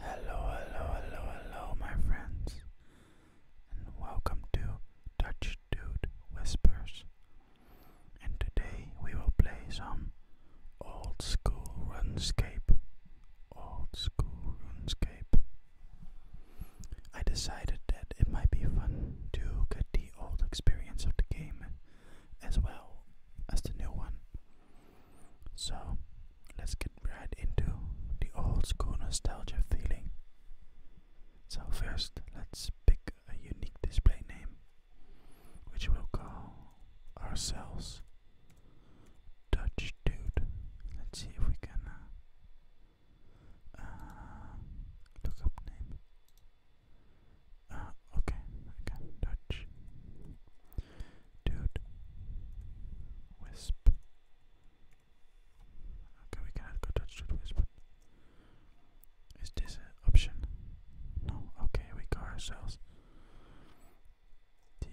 Hello, hello, hello, hello, my friends, and welcome to Dutch Dude Whispers. And today we will play some old school RuneScape. Old school RuneScape. I decided that it might be fun to get the old experience of the game as well as the new one. So let's get right into the old school nostalgia feeling. So first let's pick a unique display name which we'll call ourselves Dutch Dude. Let's see if we can uh, uh, look up name. Uh, okay, Dutch. Dude. Wisp. Okay, we cannot go touch Dude Wisp. Is this an option? No. Okay, we got ourselves the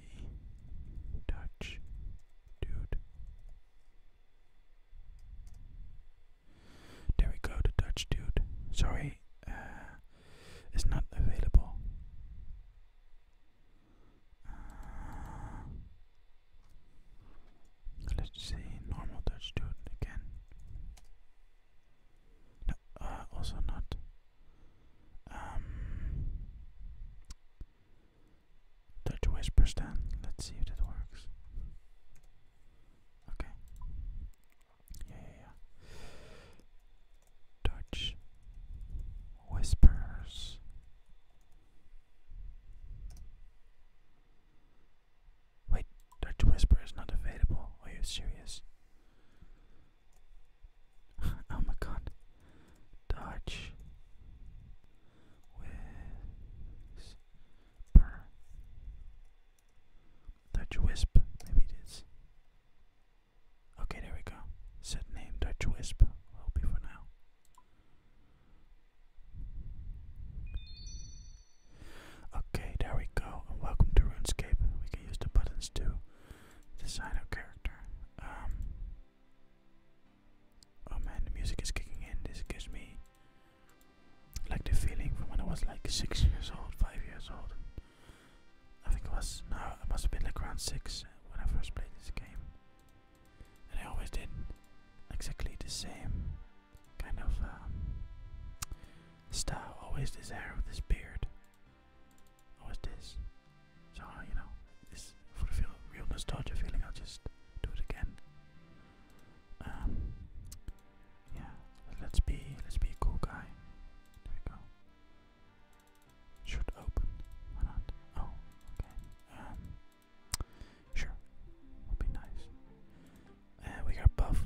Dutch Dude. There we go, the Dutch Dude. Sorry, uh, is not available. Uh, let's see, normal Dutch do again. No, uh, also not. Um, Dutch whisper stand. Let's see if that works. Okay. Yeah, Dutch whispers. Wait, Dutch Whisper is not available. Are you serious? oh my god. Dutch Whisper. Dutch Wisp, maybe it is. Okay, there we go. Set name Dutch Will be for now. Okay, there we go. welcome to RuneScape. We can use the buttons to design our character. Um, oh man, the music is kicking in. This gives me like the feeling from when I was like six years old, five years old. I think it was, no, it must have been like round 6 when I first played this game. And I always did exactly the same kind of um, style. Always this hair with this beard. Always this. So, uh, you know, this for the feel, real nostalgia feeling, I'll just do it again. Um, yeah, let's be, let's be a cool guy. There we go should open. Why not? Oh, okay. Um, sure. Would be nice. And we got buff.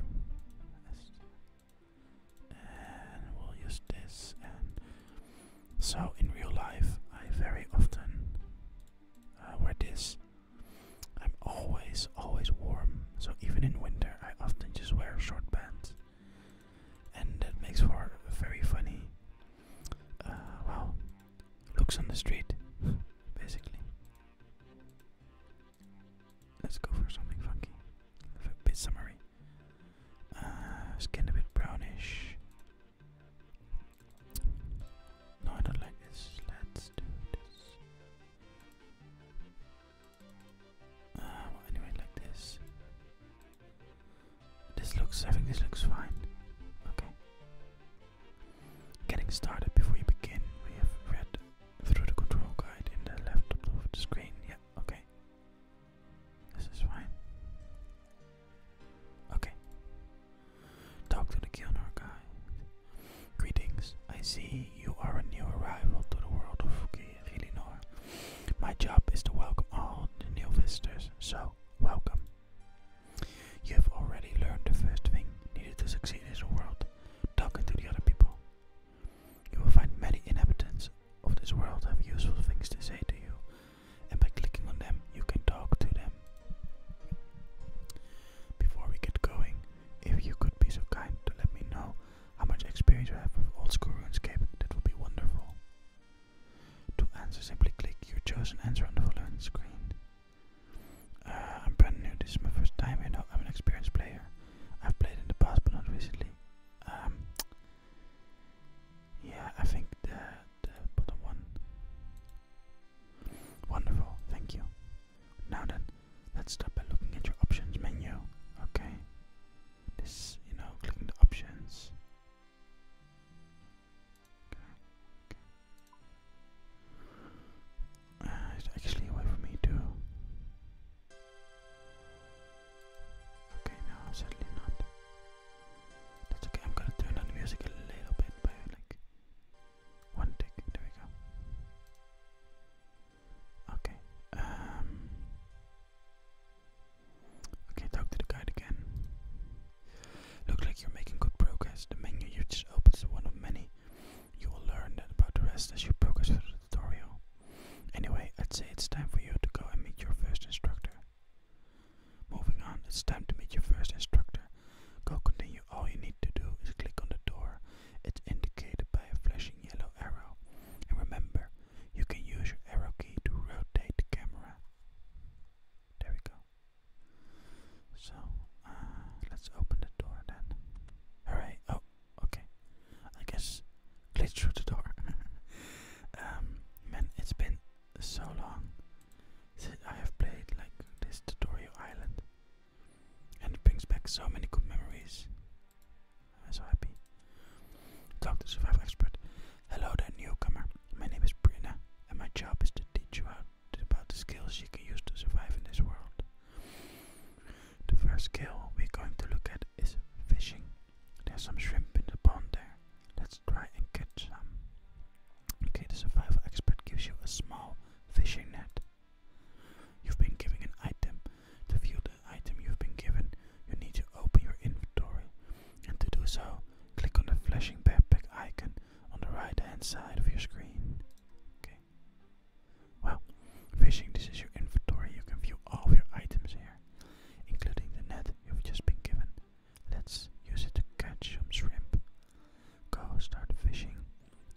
And we'll use this. so in real life, I very often uh, wear this. I'm always, always warm. So even in winter, I often just wear short pants and that makes for a very funny, uh, well, looks on the street, basically. Let's go for something funky, a bit summery, uh, skin a bit brownish. No, I don't like this. Let's do this. Uh, anyway, like this. This looks. I think this looks fine. Okay. Getting started. Before you begin, we have read through the control guide in the left top of the screen. Yeah. Okay. This is fine. Okay. Talk to the Gilnor guy. Greetings. I see you are a new arrival to the world of Fuki my job is to welcome all the new visitors, so welcome. You have already learned the first thing needed to succeed in this world talking to the other people. You will find many inhabitants of this world have useful things to say to you, and by clicking on them, you can talk to them. Before we get going, if you could be so kind to let me know how much experience you have with old school RuneScape, that would be wonderful. To answer, simply click your chosen answer on the following screen. Uh, I'm brand new, this is my first time, you know, I'm an experienced player. I've played in the past, but not recently. Um, yeah, I think the, the bottom one. Wonderful, thank you. Now then, let's start by looking at your options menu. Okay, this, you know, clicking the options. Uh, it's actually a for me to. Okay, no, certainly not. That's okay. I'm gonna turn on music a little bit by one tick. There we go. Okay. Um, okay, talk to the guide again. Look like you're making good progress. The menu you just opened is one of many. You will learn about the rest as you progress through the tutorial. Anyway, I'd say it's time for you to go and meet your first instructor. Moving on, it's time to meet your first instructor. Go continue. All you need to do is click on the door. It's indicated by a flashing yellow arrow. And remember, you can use your arrow key to rotate the camera. There we go. So, uh, let's open the door then. Hooray! Oh, okay. I guess glitch through the door. Um, man, it's been so long since I have played like this tutorial island, and it brings back so many good memories. I'm so happy. Talk survival expert. Hello there, newcomer. My name is Brina, and my job is to teach you how to, about the skills you can use to survive in this world. The first skill we're going to look at is fishing. There's some shrimp in the pond there. Let's try and catch some. Okay, the survival expert gives you a small fishing net. You've been given an item to view the item you've been given, you need to open your inventory, and to do so, click on the flashing backpack icon on the right hand side of your screen. Okay. Well, fishing, this is your inventory. You can view all of your items here, including the net you've just been given. Let's use it to catch some shrimp. Go start fishing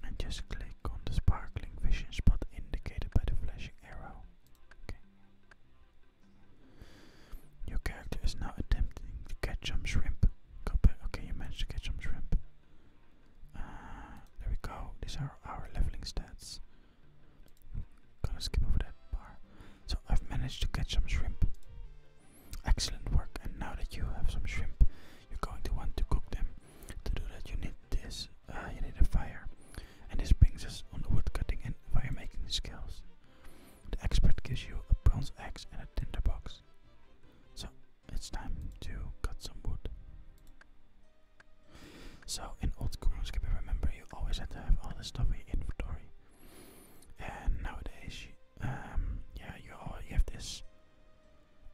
and just click on the sparkling fishing spot indicated by the flashing arrow. Okay. Your character is now attempting to catch some shrimp. Okay, you managed to catch some shrimp. Uh, there we go. These are our leveling stats. Gonna skip over that bar. So I've managed to catch some shrimp. Excellent work. And now that you have some shrimp, you're going to want to cook them. To do that, you need this. Uh, you need a fire and this brings us on the woodcutting and firemaking skills. The expert gives you a bronze axe and a tinder box. So it's time to cut some wood. So in old Runescape, remember you always had to have all this stuff in your inventory. And nowadays, you, um, yeah, you have this.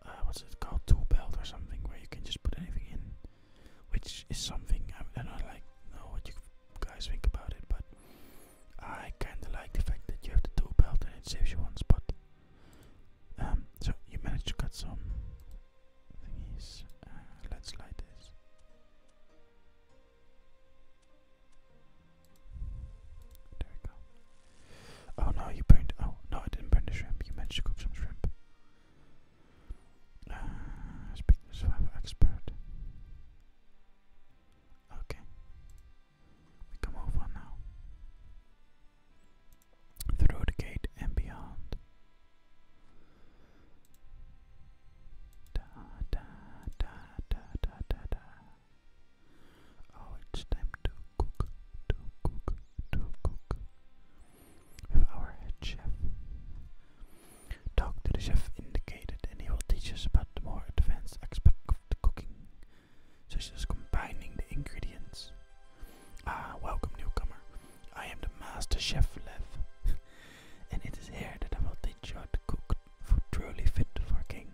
Uh, what's it called? Tool belt or something where you can just put anything in which is something I, don't like know what you guys think about it, but I kind of like the fact that you have the dual belt and it saves you one spot. Um, so you managed to cut some uh, let's light this. There we go. Oh no, you burned. Oh no, I didn't burn the shrimp. You managed to cook some shrimp. Uh, speak to survival expert. Okay. We come over now. Through the gate and beyond. Da da da da da da da. Oh, it's time to cook, to cook, to cook with our head chef. Talk to the chef indicated, and he will teach us about the more advanced aspect of the cooking, such as combining the ingredients. Ah, welcome, newcomer. I am the master chef, Lev, and it is here that I will teach you to cook food truly fit for a king.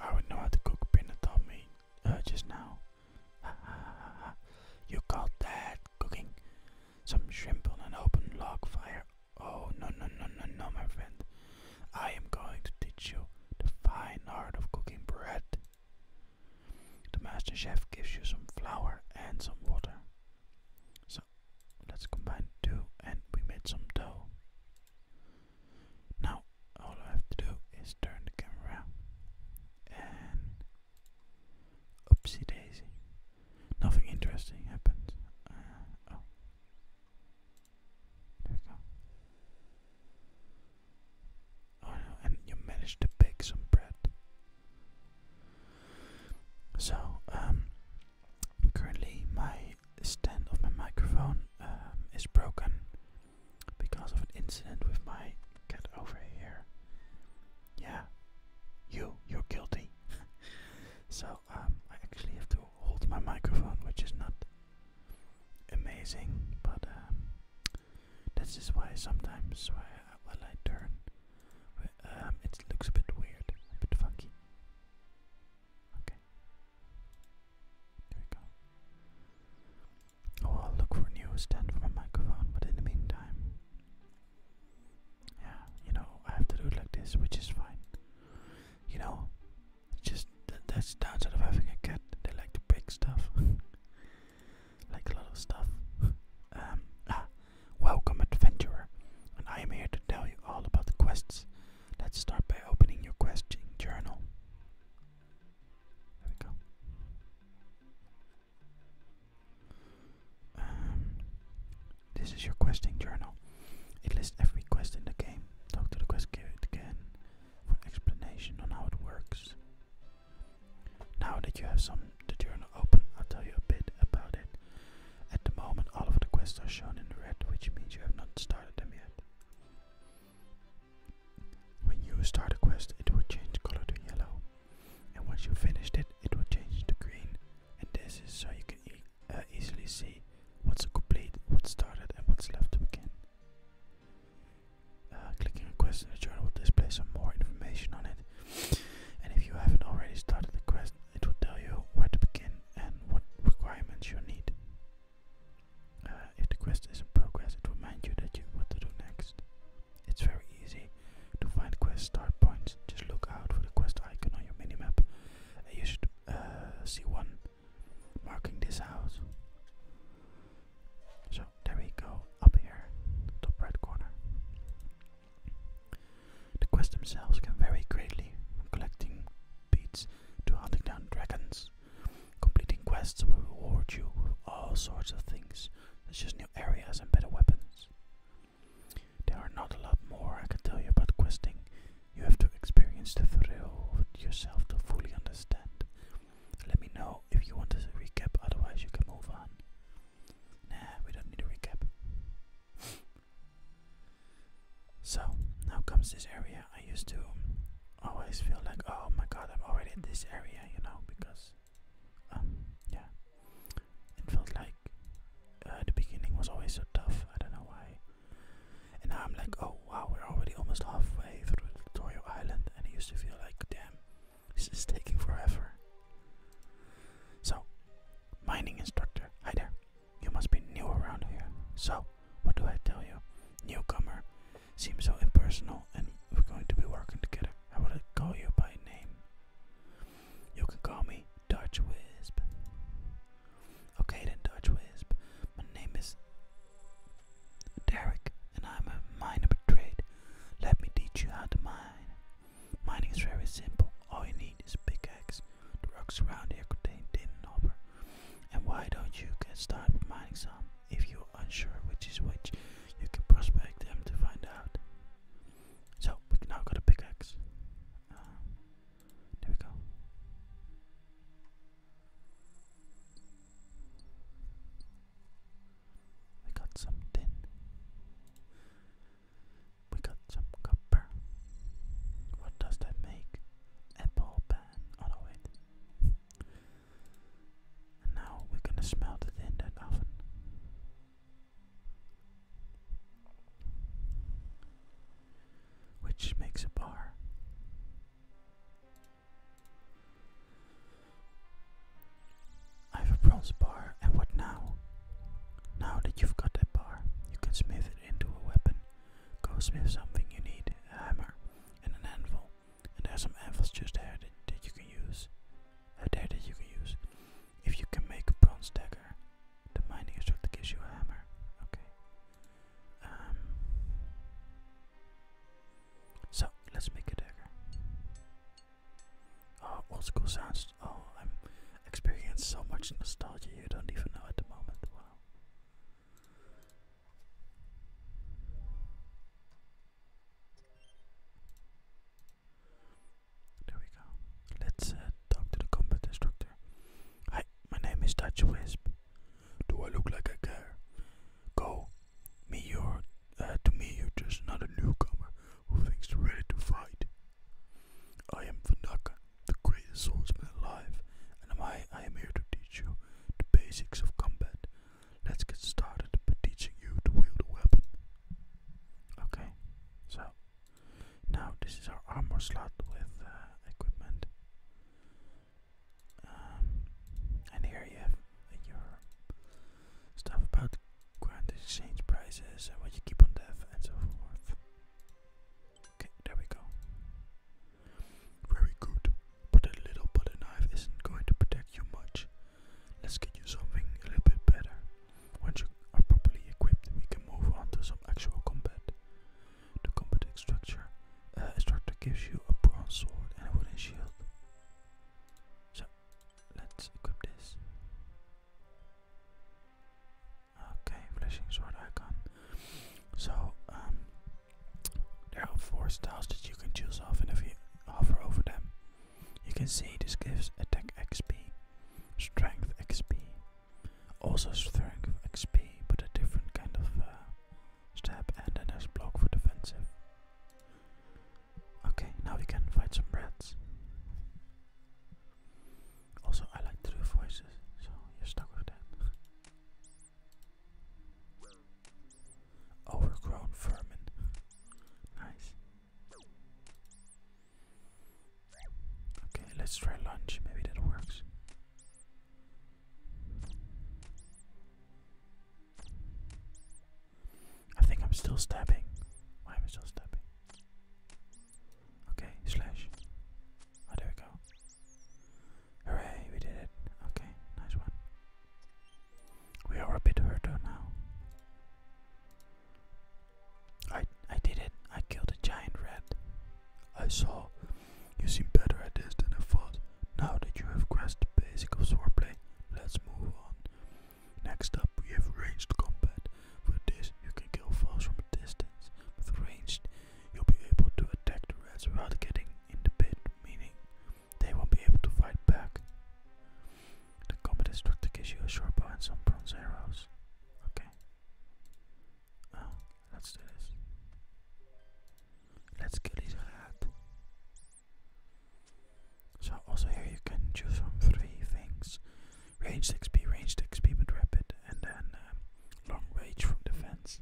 I would know how to cook, Pinna taught me uh, just now. you call that cooking? Some shrimp on an open log fire. Oh, no, no, no, no, no, my friend. I am going to teach you the fine art of cooking bread. The master chef gives you some flour and some water. So let's combine two and we made some dough. Now all I have to do is turn the camera and Oopsie daisy. Nothing interesting happened. Uh, oh. There we go. Oh and you managed to bake some bread. So, um, currently my stand of my microphone um, is broken because of an incident with my cat over here yeah, you, you're guilty. so um, I actually have to hold my microphone, which is not amazing, but um, this is why sometimes why I, while I turn, um, it looks a bit weird, a bit funky. Okay, there we go. Oh, I'll look for a new stand for my microphone, but in the meantime, yeah, you know, I have to do it like this, which is fine. You know, just th that's downside of having a cat. They like to break stuff, like a stuff. um, ah, welcome, adventurer, and I am here to tell you all about the quests. Let's start by opening your questing journal. There we go. Um, this is your questing journal. It lists every quest in the game. Talk to the quest giver again for explanation on how it works. Now that you have some the journal open, I'll tell you a bit about it. At the moment, all of the quests are shown in the red, which means you have not started them yet. When you start a quest, it will change color to yellow and once you finished it, it will change to green. And this is so you can uh, easily see what's complete, what's started, and what's left to begin. Uh, clicking a quest in the journal will display some more information on it, and if you haven't already started the quest, it will tell you where to begin and what requirements you need. Uh, if the quest is in progress, it will remind you that you what to do next. It's very easy to find quest start points. Just look out for the quest icon on your minimap. And you should uh, see one marking this house. So there we go, up here, top right corner. The quests themselves can vary greatly, from collecting beads to hunting down dragons. Completing quests will reward you with all sorts of things, such as new areas and better weapons. There are not a lot more I can tell you about questing. You have to experience the thrill yourself to fully understand. Let me know if you want a recap, otherwise you can move on. Nah, we don't need a recap. so, now comes this area I used to always feel like, oh my god, I'm already in this area, you know, because um, yeah, it felt like uh, the beginning was always so tough. I don't know why. And now I'm like, oh wow, we're already almost halfway through Tutorial Island, and it used to feel like, damn, this is taking forever. So, mining instructor, hi there. You must be new around here. So, what do I tell you? Newcomer seems so impersonal, and we're going to be working together. I want to call you by name. You can call me Dutch Wisp. Okay then, Dutch Wisp. My name is Derek, and I'm a miner by Let me teach you how to mine. Mining is very simple. All you need is pickaxe. The rocks around here contain tin and copper. And why don't you get started mining some? If you're unsure which is which, you can prospect them to find out. So we now got a pickaxe. Uh, there we go. We got some tin. We got some copper. What does that make? Apple pan. Oh no, wait. now we're gonna smelt it in that oven which makes a bar. I have a bronze bar, and what now? Now that you've got that bar, you can smith it into a weapon. Go smith something you need a hammer and an anvil, and there some anvils just there that, you can use. Uh, there that you can use. If you can make a bronze dagger, the mining instructor gives you a hammer. Okay. Um, so let's make a dagger. Oh, old school sounds. Oh, I'm experiencing so much nostalgia you don't even know at the moment. Wow. There we go. Let's uh, talk to the combat instructor. Hi, my name is Dutch Wisp. Do I look like a girl? Go. Me, you're. Uh, to me, you're just another newcomer who thinks they're ready to fight. I am Vanaka, the greatest swordsman alive, and I, I am here to teach you the basics of combat. Let's get started by teaching you to wield a weapon. Okay, so now this is our armor slot with uh, equipment. Um, and here you have your stuff about grand exchange prices and what you keep on dev and so forth. Okay, there we go. Very good, but a little butter knife isn't going to protect you much. Let's get you something a little bit better. Once you are properly equipped, we can move on to some actual combat. The combat instructor, uh, gives you a bronze sword and a wooden shield. So, let's equip this. Okay, flashing sword icon. So, um, there are four styles that you can choose off, and if you hover over them, you can see this gives attack XP, strength XP, also strength XP, but a different kind of uh, stab, and then there's block for defensive. Okay, now we can fight some rats. Also, I like to voices, so you're stuck with that. Overgrown vermin. nice. Okay, let's try lunch. Maybe that works. I think I'm still stabbing. Why am I still stabbing? Okay, slash. Oh, there we go. Hooray, we did it. Okay, nice one. We are a bit hurt now. I I did it. I killed a giant rat. I saw. You seem better at this than I thought. Now that you have grasped the basic of swordplay, let's move on. Next up, we have ranged combat. For this, you can kill foes from a distance. With ranged, you'll be able to attack the rats without getting in the pit, meaning they won't be able to fight back. The combat instructor gives you a sharp and some bronze arrows. Okay. Oh, let's do this. Let's kill this head. So also here you can choose from three things. Ranged XP, ranged XP but rapid, and then um, long range from defense.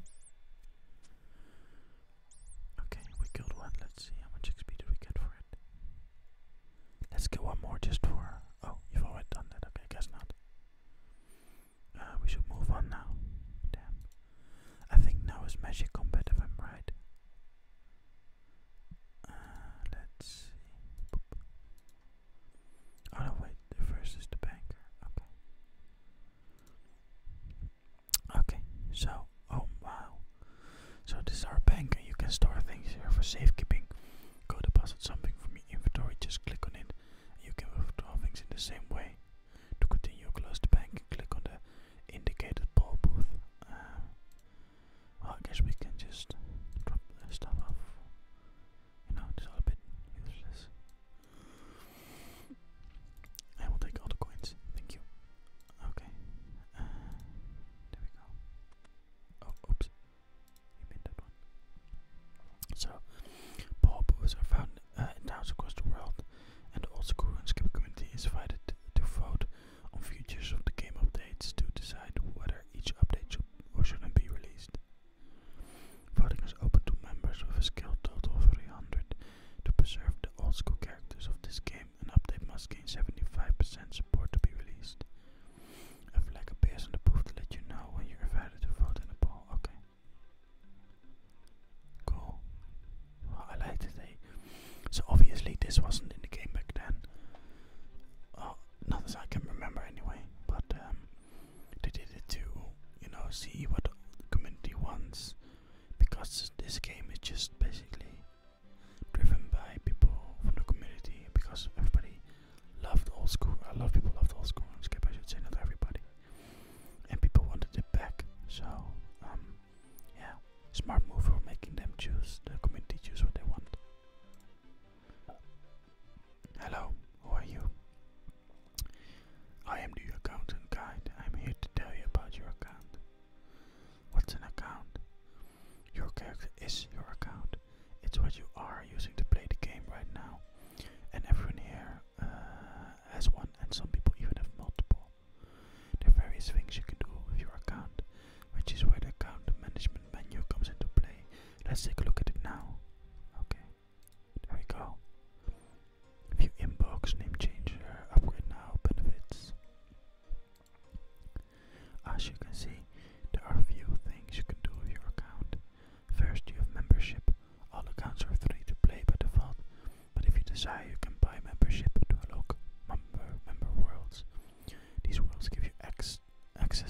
Okay, we killed one. Let's see how much XP did we get for it. Let's get one more just for. Oh, you've already done that. Okay, guess not. Uh, we should move on now. Damn. I think now is magic combat if I'm right. Uh, let's see. Oh no, wait. The first is the banker. Okay. Okay, so Oh wow. So this our bank and you can store things here for safekeeping. Go deposit something from your inventory, just click on it and you can withdraw things in the same way. To continue close the bank click on the indicated ball booth. Uh, well I guess we can just drop the stuff off. You know, it's all a bit useless. I will take all the coins, thank you. Okay. Uh, there we go. Oh, oops. You So, paupers are found uh, in towns across the world, and the old school RuneScape community is invited to vote on futures of the game updates to decide whether each update should or shouldn't be released. Voting is open to members with a skill total of 300 to preserve the old school characters of this game an update must gain 75% support to be released. A flag appears on the booth to let you know when you're invited to vote in the poll. Okay. Cool. I like today. So obviously this wasn't in the game back then. Oh, not as I can remember anyway. But um, they did it to, you know, see what the community wants. Because this game is just basically driven by people from the community because everybody loved old school. A lot of people loved old school I RuneScape, I should say, not everybody. And people wanted it back, so um, yeah, smart move for making them choose the community choose what they want. Hello, who are you? I am the accountant guide. I'm here to tell you about your account. What's an account? Your character is your account. It's what you are using to play the game right now. And everyone here uh, has one, and some people even have multiple. There are various things you can do with your account, which is where the account management menu comes into play. Let's take a look at it now. Okay, there we go. View inbox, name changer, uh, upgrade now, benefits. As you can see, there are a few things you can do with your account. First, you have membership. All accounts are free to play by default, but if you desire, you can buy membership to unlock member, member worlds. These worlds give you access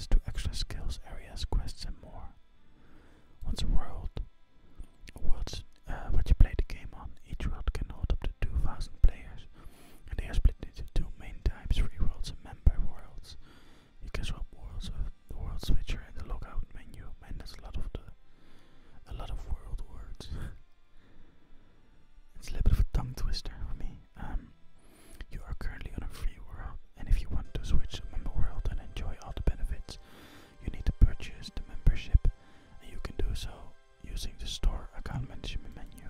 to extra skills, areas, quests, and more. Once a world, a world uh, what you play the game on, each world can hold up to 2,000 players, and they are split into two main types, free worlds and member worlds. You can swap worlds with the world switcher in the logout menu. Man, that's a lot of a lot of world words. it's a little bit of a tongue twister for me. Um, you are currently on a free world, and if you want to switch to a member world and enjoy all the benefits, you need to purchase the membership, and you can do so using the store account management menu.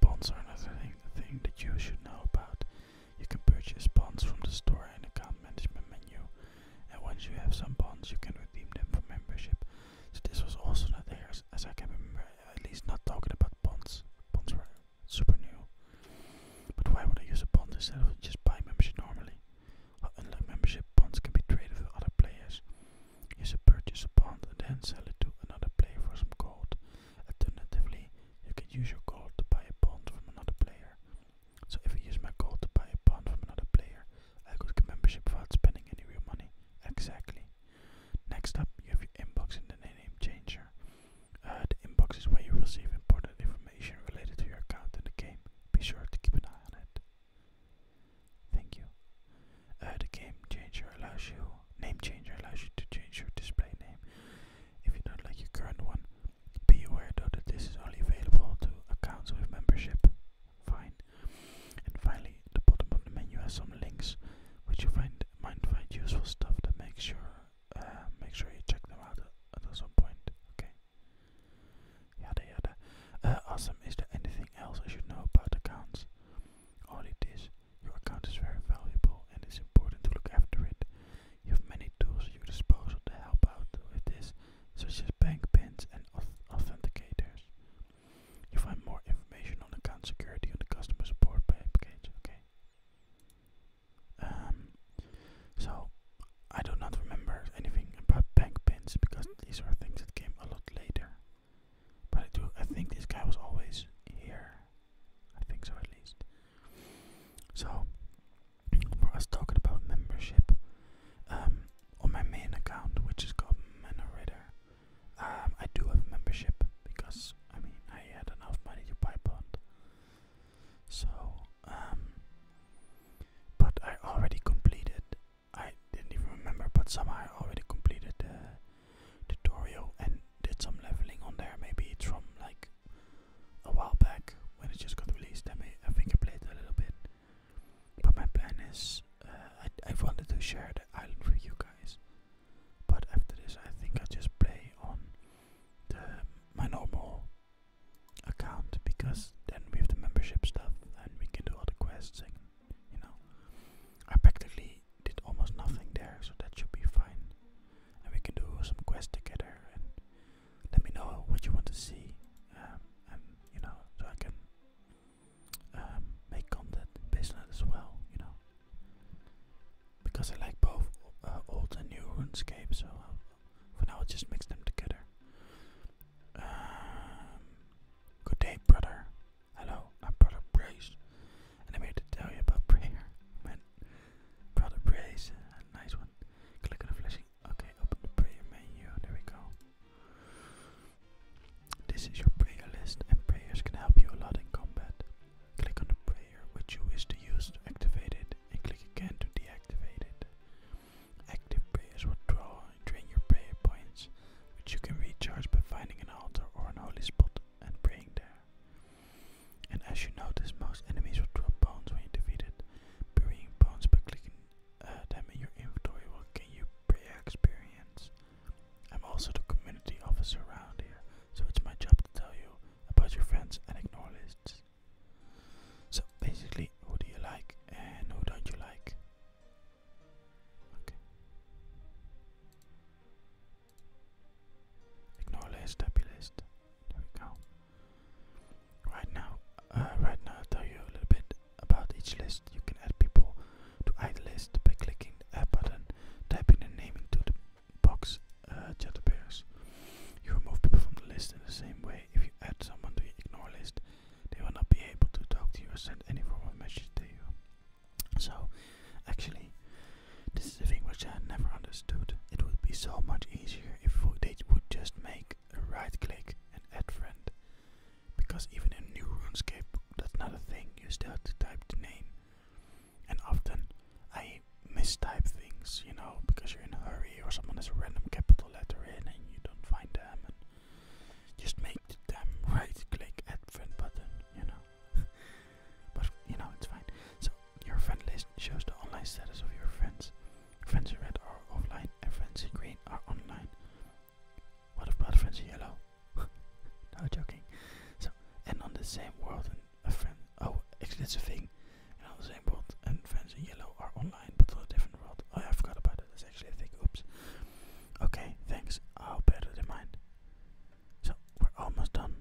Bonds are another thing, thing that you should know about. You can purchase bonds from the store and account management menu, and once you have some bonds, you can redeem them for membership. So this was also not there, as, as I can remember, at least not talking about bonds. Bonds were super new. But why would I use a bond instead of just buying membership normally? Well, unlike membership, bonds can be traded with other players. You should purchase a bond and then sell it to another player for some gold. Alternatively, you can use your gold to buy a bond from another player. So if I use my gold to buy a bond from another player, I could get membership without spending any real money. Exactly. Next up, you have your inbox and the name changer. Uh, the inbox is where you receive important information related to your account in the game. Be sure to keep an eye on it. Thank you. the game changer allows you name changer allows you to change your display name if you don't like your current one. Be aware though that this is only available to accounts with membership. Fine. And finally, the bottom of the menu has some links which you find might find useful stuff that makes sure uh, make sure you check them out at, some point. Okay. Yada yada. Uh, awesome. Is there anything else I should know about accounts? All it is, your account is very valuable and it's important to look after it. You have many tools at your disposal to help out with this, such as bank pins and authenticators. You find more information on account security on the customer support page. Okay. Um, so, I do not remember anything about bank pins because these are things that came a lot later. But I do. I think this guy was always here. I think so at least. So, for us talking about membership, um, on my main account, which is called Manorator, um, I do have membership because I mean I had enough money to buy Bond. So, um, but I already completed I didn't even remember, but somehow I already completed the tutorial and did some leveling on there. Maybe it's from like a while back when it just got released. I, think I played a little bit, but my plan is uh, I, wanted to share the island with you guys, but after this, I think i just play on my normal account because then we have the membership stuff and we can do all the quests and you know. I practically did almost nothing there, so that should be fine. And we can do some quests together and let me know what you want to see. Um, and you know, so I can um, make content based on it as well, you know. Because I like both uh, old and new RuneScape, so uh, for now I'll just mix them together. Um, good day, brother. Hello, I brought a brace, and I'm here to tell you about prayer. Man, brought brace, a nice one. Click on the flashing. Okay, open the prayer menu. There we go. This is your prayer list, and prayers can help you a lot in combat. Click on the prayer which you wish to use to activate it, and click again to deactivate it. Active prayers will draw drain your prayer points, which you can recharge by finding an altar or an holy spot and praying there. And as you notice, most enemies will drop bones when you defeat bones by clicking uh, them in your inventory will gain you prayer experience. I'm also the community officer around here, so it's my job to tell you about your friends and ignore lists. So basically, who do you like and who don't you like? Ignore list, happy list. There we go. Right now, uh, right now I'll tell you a little bit about each list. You can add people to either list by clicking the add button, typing their name into the box uh, chat appears. You remove people from the list in the same way. If you add someone to your ignore list, they will not be able to talk to you or send any form of message to you. So, actually, this is a thing which I never understood. It would be so much easier if they would just make a right click and add friend. Because even in new RuneScape, that's not a thing. You still have to type the name. And often I mistype things, you know, because you're in a hurry or someone has a random capital letter in and you don't find them. And just make the damn right click add friend button, you know. but you know it's fine. So your friend list shows the online status of your friends. Friends in red are offline and friends in green are online. What about friends in yellow? no joking. So and on the same world and a friend oh actually it's a thing. And on the same world and friends in yellow are online but on a different world. Oh, I forgot about it, it's actually a thing, oops. Okay, thanks. I'll bear that mind. So, we're almost done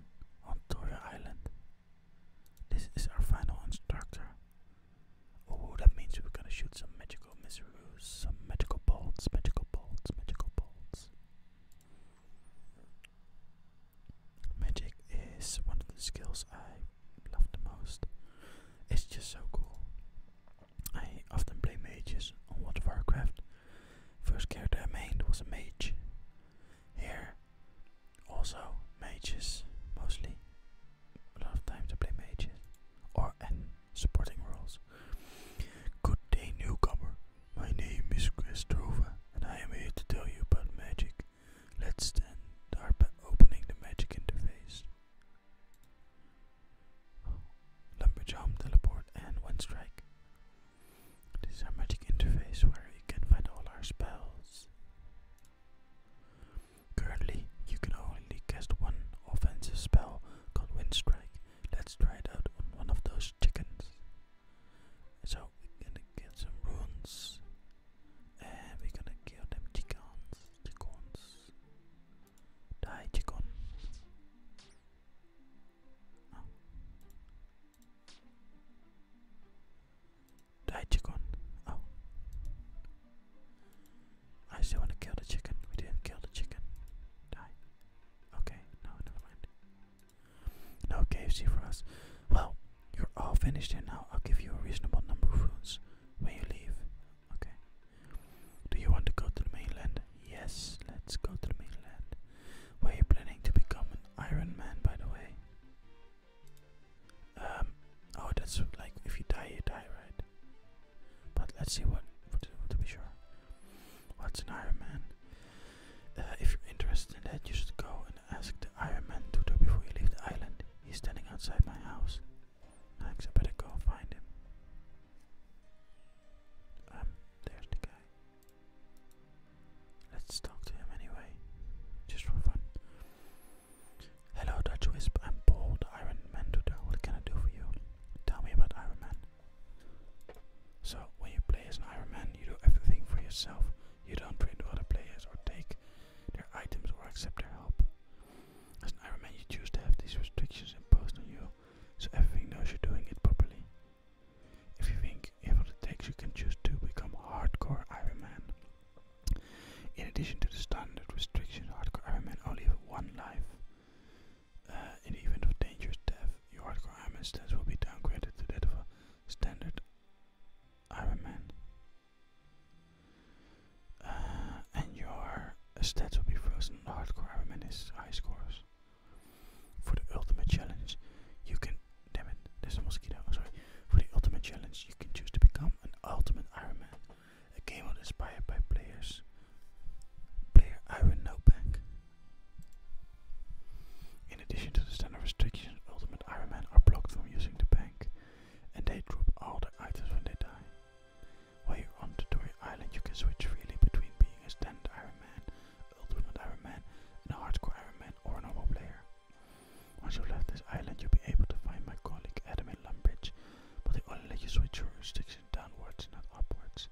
on Toria Island. This is our final instructor. Oh, that means we're gonna shoot some magical miseroos, some magical bolts, magical bolts, magical bolts. Magic is one of the skills I love the most. It's just so cool. I often play mages on World of Warcraft. First character I made was a mage. Here, also mages mostly. A lot of times I play mages or and supporting roles. Good day, newcomer. My name is Christova, and I am here to tell you about magic. Let's start by opening the magic interface. Lumberjump, Teleport, and wind Strike. This is our magic interface where you can find all our spells. Currently, you can only cast one offensive spell called wind strike. Let's try it out on one of those chickens. So, we're gonna get some runes, and we're gonna kill them chickens. Chickens. Die, chicken. Die oh. chicken. Oh. I still want to kill the chicken. We didn't kill the chicken. Die. Okay, no, never mind. No KFC for us. Well, you're all finished here now. I'll give you a reasonable number of rooms when you leave. Okay. Do you want to go to the mainland? Yes, let's go to the mainland. Were you planning to become an Iron Man, by the way? Um, oh, that's like if you die, you die, right? But let's see what, to be sure. What's an Iron Man? Uh, if you're interested in that, you should go and ask the Iron Man to do before you leave the island. He's standing outside my house. Thanks, I better go find him. Um, there's the guy. Let's talk to him anyway, just for fun. Hello, Dutch Wisp. I'm Paul, the Iron Man tutor. What can I do for you? Tell me about Iron Man. So, when you play as an Iron Man, you do everything for yourself. You don't train other players or take their items or accept their help. As an Iron Man, you choose to have these restrictions imposed on you so everything knows you're doing it properly. If you think if it takes, you can choose to become Hardcore Iron Man. In addition to the standard restrictions, Hardcore Iron Man only have one life. Uh, in the event of dangerous death, your Hardcore Man stats will be downgraded to that of a standard Iron Man, uh, and your stats will be frozen Hardcore Ironman is high scores. For the ultimate challenge, you can. Damn it, there's a mosquito. sorry. For the ultimate challenge, you can choose to become an ultimate Iron Man. A game inspired by players. Player Iron Notebook. In addition to the standard restrictions, Ultimate Iron Man are blocked from using the bank, and they drop all their items when they die. While you're on Tutori Island, you can switch freely between being a standard Iron Man, Ultimate Iron Man, and a Hardcore Iron Man or a normal player. Once you've left this island, you'll be able to find my colleague Adam in Lumbridge, but they only let you switch your restriction downwards, not upwards.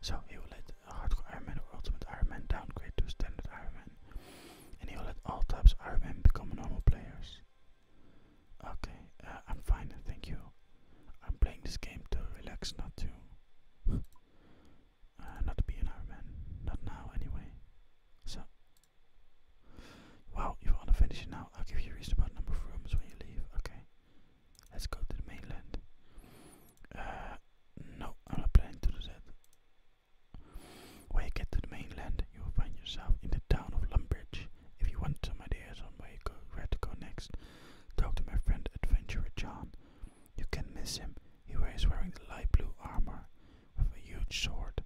So he will let a Hardcore Iron Man or Ultimate Iron Man downgrade to Standard Iron Man, and he will let all types of Iron Man become normal players. Okay, uh, I'm fine, thank you. I'm playing this game to relax, not to. Uh, not to be an Iron Man. Not now, anyway. So. Wow, you want to finish it now? I'll give you a reason about number of rooms when you leave. Okay. Let's go to the mainland. Uh, no, I'm not planning to do that. When you get to the mainland, you will find yourself in the town of Lumbridge. If you want some ideas on where, you go, where to go next, Talk to my friend Adventurer John. You can miss him. He is wearing the light blue armor with a huge sword.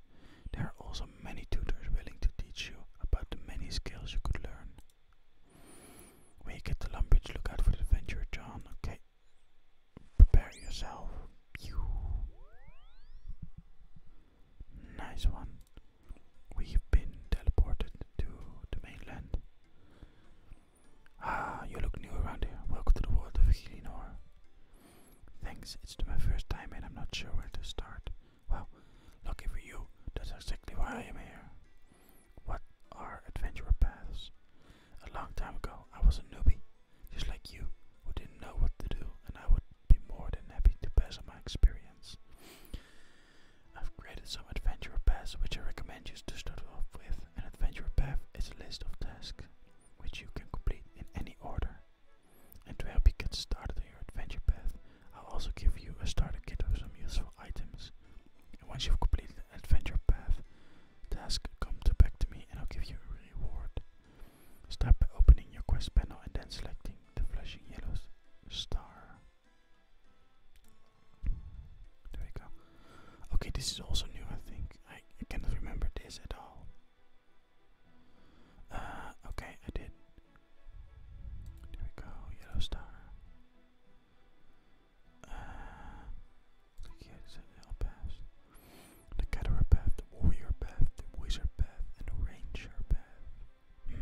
There are also many tutors willing to teach you about the many skills you could learn. When you to Lumbridge, look out for Adventurer John, okay? Prepare yourself. Nice one. We've been teleported to the mainland. Ah, you look new around here. Welcome to the world of Helinor. Thanks, it's my first time and I'm not sure where to start. Well, lucky for you, that's exactly why I am here. What are adventure paths? A long time ago, I was a newbie, just like you, who didn't know what to do, and I would be more than happy to pass on my experience. I've created some adventure paths which I recommend you to start off with. An adventure path is a list of tasks which you can complete in any order. And to help you get started on your adventure path, I'll also give you a starter kit of some useful items. And once you've completed an adventure path task, come to back to me and I'll give you a reward. Start by opening your quest panel and then selecting the flashing yellow star. There we go. Okay, this is also new, I think. I, cannot remember this at all. Uh, okay, I did. There we go, yellow star. Uh, click here, it's a The caterer the warrior path, the wizard path, and the ranger path. Hmm.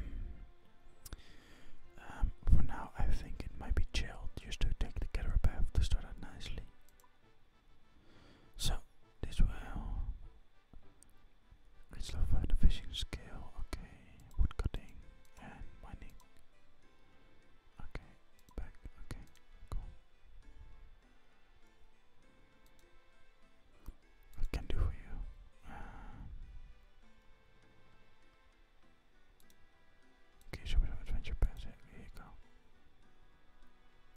Um, for now, I think it might be chilled just to take the caterpillar path to start out nicely. So, this will. It's love the fishing scale, okay, wood and mining. Okay, back, okay, cool. What can do for you? Uh, Okay, show me some adventure pants. Here you go.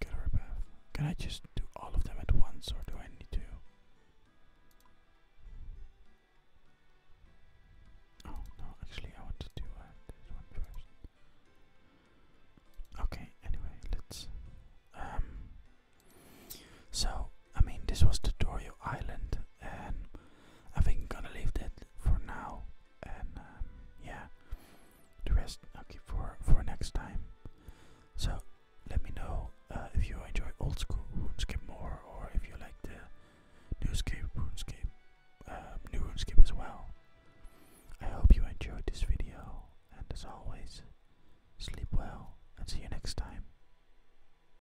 Gallery path. Can I just do all of them at once or do I need to? Oh no, actually I want to do uh, this one first. Okay, anyway, let's um, so I mean, this was Tutorial Island, and I think I'm gonna leave that for now. And um, yeah, the rest okay for for next time. So let me know uh, if you enjoy old school RuneScape more, or if you like the new scape RuneScape, um, new RuneScape as well. I hope you enjoyed this video, and as always, sleep well, and see you next time.